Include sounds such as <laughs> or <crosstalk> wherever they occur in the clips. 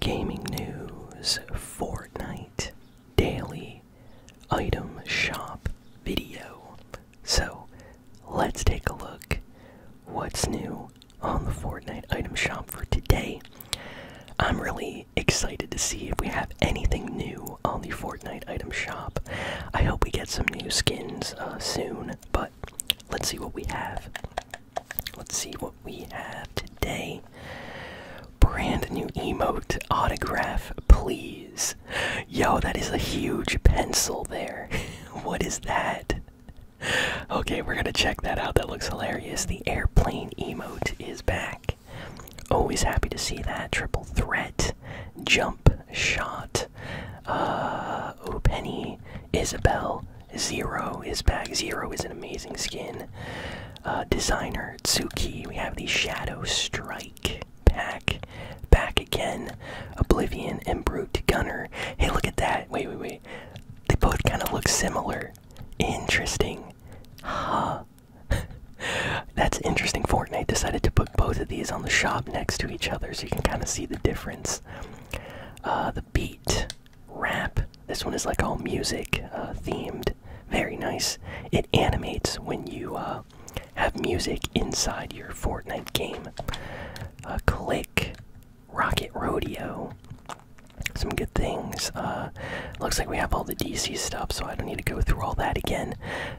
Gaming news, Fortnite, daily item shop video. So let's take a look what's new on the Fortnite item shop for today. I'm really excited to see if we have anything new on the Fortnite item shop. I hope we get some new skins uh, soon, but let's see what we have. Let's see what we have today. Brand new emote autograph, please. Yo, that is a huge pencil there. <laughs> what is that? Okay, we're gonna check that out. That looks hilarious. The airplane emote is back. Always happy to see that. Triple threat, jump shot. Uh, oh, Penny, Isabel, Zero is back. Zero is an amazing skin uh, designer Tsuki. We have the Shadow Strike pack. Back again. Oblivion and Brute Gunner. Hey, look at that. Wait, wait, wait. They both kind of look similar. Interesting. Huh. <laughs> That's interesting. Fortnite decided to put both of these on the shop next to each other so you can kind of see the difference. Uh, the Beat rap. This one is like all music uh, themed. Very nice. It animates when you uh, have music inside your Fortnite game. Uh, click, Rocket Rodeo. Some good things. Uh, looks like we have all the DC stuff, so I don't need to go through all that again.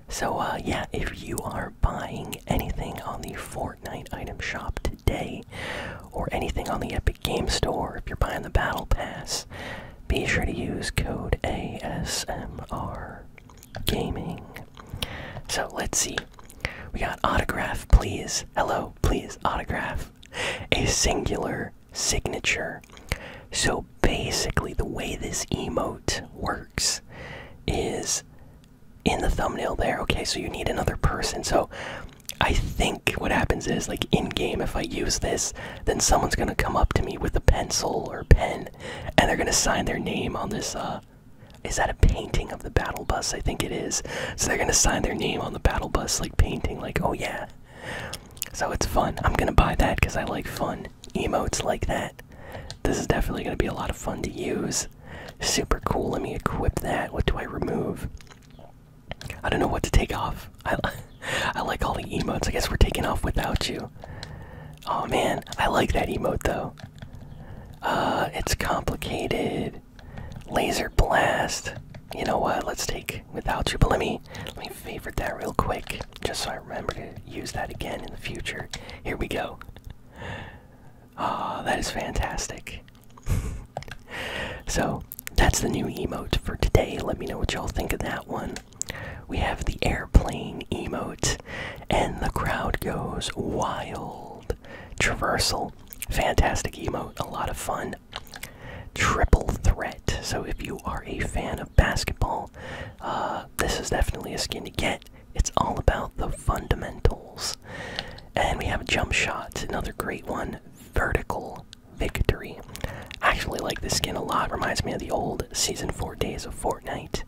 So, yeah, if you are buying anything on the Fortnite item shop today, or anything on the Epic Game Store if you're buying the Battle Pass, be sure to use code ASMR Gaming. So let's see. We got autograph, please. Hello, please, autograph. A singular signature. So basically, the way this emote works is in the thumbnail there. Okay, so you need another person. So I think what happens is, like in game, if I use this, then someone's gonna come up to me with a pencil or pen, and they're gonna sign their name on this. Uh, is that a painting of the battle bus? I think it is. So they're gonna sign their name on the battle bus, like painting, like oh yeah. So it's fun. I'm gonna buy that because I like fun emotes like that. This is definitely gonna be a lot of fun to use. Super cool. Let me equip that. What do I remove? I don't know what to take off. <laughs> I, like all the emotes. I guess we're taking off without you. Oh man, I like that emote though. Uh, it's complicated. Laser blast. You know what? Let's take without you. But let me let me favorite that real quick, just so I remember to use that again in the future. Here we go. Ah, oh, that is fantastic. <laughs> so that's the new emote for today. Let me know what y'all think of that one. We have the airplane emote, and the crowd goes wild. Traversal, fantastic emote, a lot of fun. Triple threat. So if you are a fan of basketball, uh, this is definitely a skin to get. It's all about the fundamentals. And we have jump shots. another great one. Vertical victory. actually like this skin a lot. Reminds me of the old season four days of Fortnite.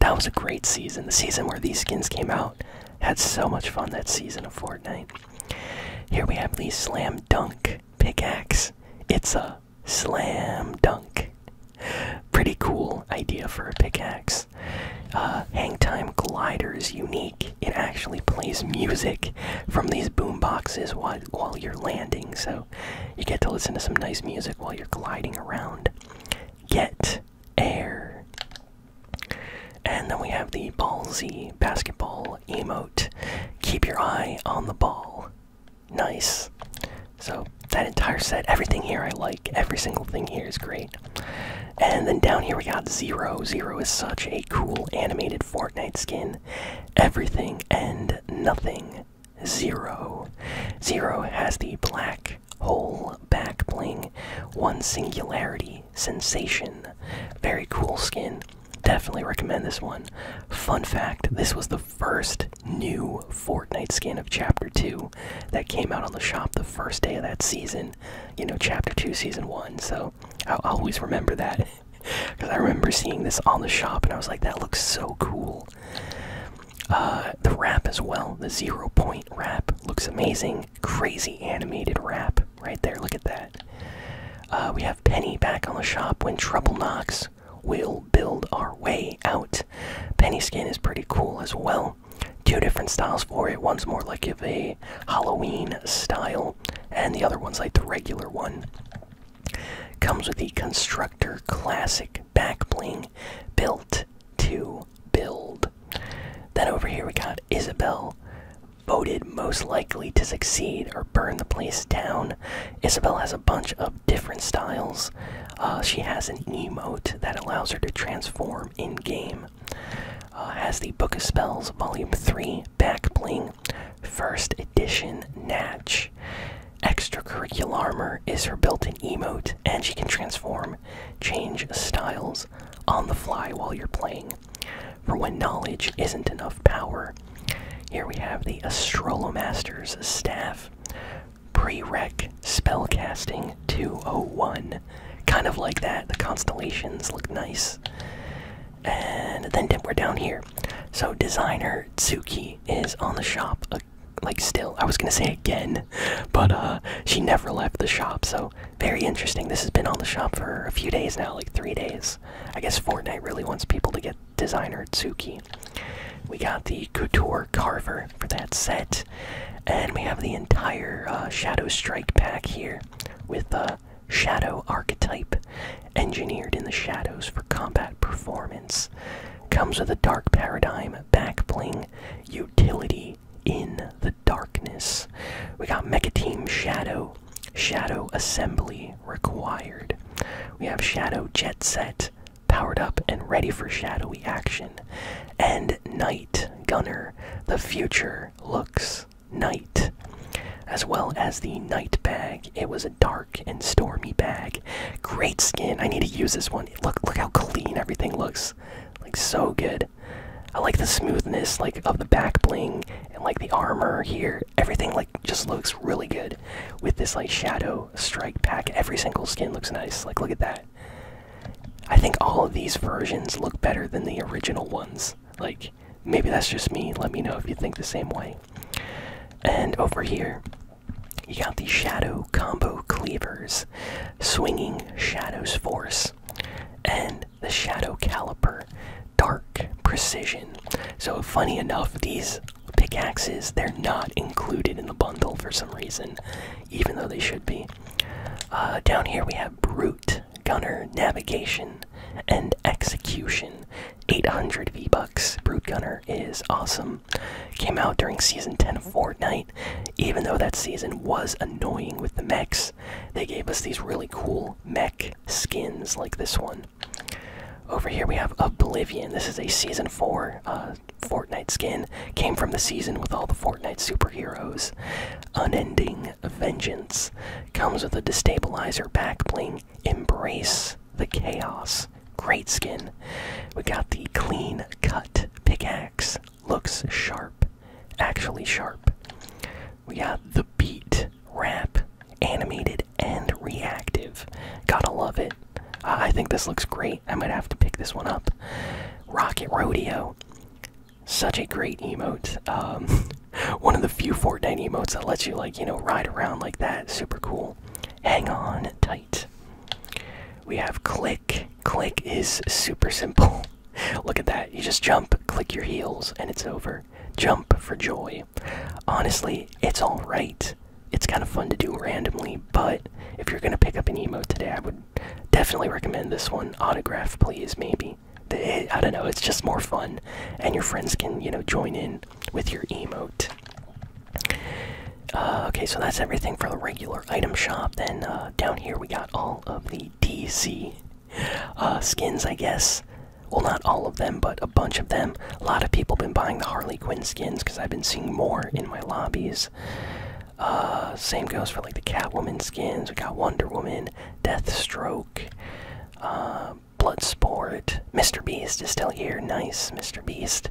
That was a great season. The season where these skins came out. Had so much fun that season of Fortnite. Here we have the slam dunk pickaxe. It's a slam dunk. Pretty cool idea for a pickaxe. Uh, hang time gliders unique it actually plays music from these boom boxes while, while you're landing, so you get to listen to some nice music while you're gliding around. Get air. And then we have the Ball Z basketball emote. Keep your eye on the ball. Nice. So, that entire set, everything here I like, every single thing here is great. And then down here we got Zero. Zero is such a cool animated Fortnite skin. Everything and nothing. zero, zero has the black hole back bling. One singularity. Sensation. Very cool skin. Definitely recommend this one. Fun fact this was the first new Fortnite skin of Chapter 2 that came out on the shop the first day of that season. You know, Chapter 2, Season 1. So i always remember that because <laughs> I remember seeing this on the shop and I was like, that looks so cool. Uh, the wrap as well, the zero point wrap looks amazing. Crazy animated wrap right there. Look at that. Uh, we have Penny back on the shop when trouble knocks. We'll build our way out. Penny skin is pretty cool as well. Two different styles for it. One's more like of a Halloween style, and the other one's like the regular one. Comes with the Constructor Classic back bling built to build. Then over here we got Isabel, voted most likely to succeed or burn the place down. Isabel has a bunch of different styles. Uh, she has an emote that allows her to transform in game uh, has the Book of Spells Volume 3 Backbling First Edition Natch. Extracurricular armor is her built in emote, and she can transform, change styles on the fly while you're playing. For when knowledge isn't enough power. Here we have the Astrolomaster's Staff. Pre-rec Spellcasting 201. Kind of like that. The constellations look nice and then we're down here. So designer Tsuki is on the shop, uh, like still. I was gonna say again, <laughs> but uh, she never left the shop. So very interesting. This has been on the shop for a few days now, like three days. I guess Fortnite really wants people to get designer Tsuki. We got the Couture Carver for that set, and we have the entire uh, Shadow Strike pack here with uh, shadow archetype, engineered in the shadows for combat performance. Comes with a dark paradigm, back bling, utility in the darkness. We got Mecha Team Shadow, Shadow Assembly required. We have Shadow Jet Set, powered up and ready for shadowy action. And Night Gunner, the future looks Night, as well as the night bag. It was a dark and stormy bag. Great skin. I need to use this one. Look, look how clean everything looks. Like so good. I like the smoothness, like of the back bling and like the armor here. Everything like just looks really good with this like shadow strike pack. Every single skin looks nice. Like look at that. I think all of these versions look better than the original ones. Like maybe that's just me let me know if you think the same way and over here you got the shadow combo cleavers swinging shadows force and the shadow caliper dark precision so funny enough these pickaxes they're not included in the bundle for some reason even though they should be uh, down here we have brute Gunner, Navigation, and Execution. 800 V-Bucks. Brute Gunner is awesome. Came out during Season 10 of Fortnite. Even though that season was annoying with the mechs, they gave us these really cool mech skins like this one. Over here we have Oblivion. This is a Season 4 uh, Fortnite skin. Came from the season with all the Fortnite superheroes. Unending of Vengeance comes with a destabilizer back bling. Embrace the chaos. Great skin. We got the clean cut pickaxe. Looks sharp. Actually sharp. We got the beat rap, Animated and reactive. Gotta love it. Uh, I think this looks great. I might have to pick this one up. Rocket Rodeo. Such a great emote. Um, <laughs> one of the few Fortnite emotes that lets you, like, you know, ride around like that. Super cool. Hang on tight. We have click. Click is super simple. <laughs> Look at that. You just jump, click your heels, and it's over. Jump for joy. Honestly, it's alright. It's kind of fun to do randomly, but if you're going to pick up an emote today, I would definitely recommend this one. Autograph, please, maybe. I don't know, it's just more fun, and your friends can, you know, join in with your emote. Uh, okay, so that's everything for the regular item shop. Then uh, down here we got all of the DC uh, skins, I guess. Well, not all of them, but a bunch of them. A lot of people have been buying the Harley Quinn skins because I've been seeing more in my lobbies. same goes for like the Catwoman skins. We got Wonder Woman, Deathstroke. Joke, uh, Bloodsport, Mr. Beast is still here. Nice, Mr. Beast.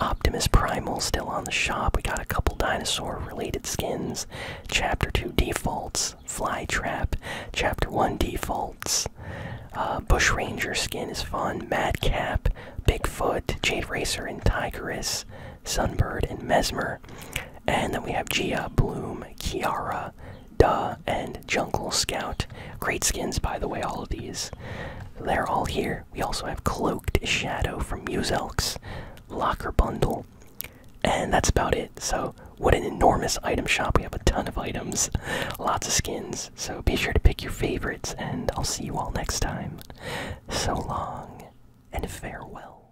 Optimus Primal still on the shop. We got a couple dinosaur related skins. Chapter 2 defaults, Flytrap, Chapter 1 defaults. Uh, Bushranger skin is fun. Madcap, Bigfoot, Jade Racer, and Tigress, Sunbird, and Mesmer. And then we have Gia, Bloom, Kiara, Duh, and Jungle Scout. Great skins, by the way, all of these. They're all here. We also have Cloaked Shadow from Muse Elks Locker Bundle, and that's about it. So, what an enormous item shop. We have a ton of items, lots of skins. So, be sure to pick your favorites, and I'll see you all next time. So long, and farewell.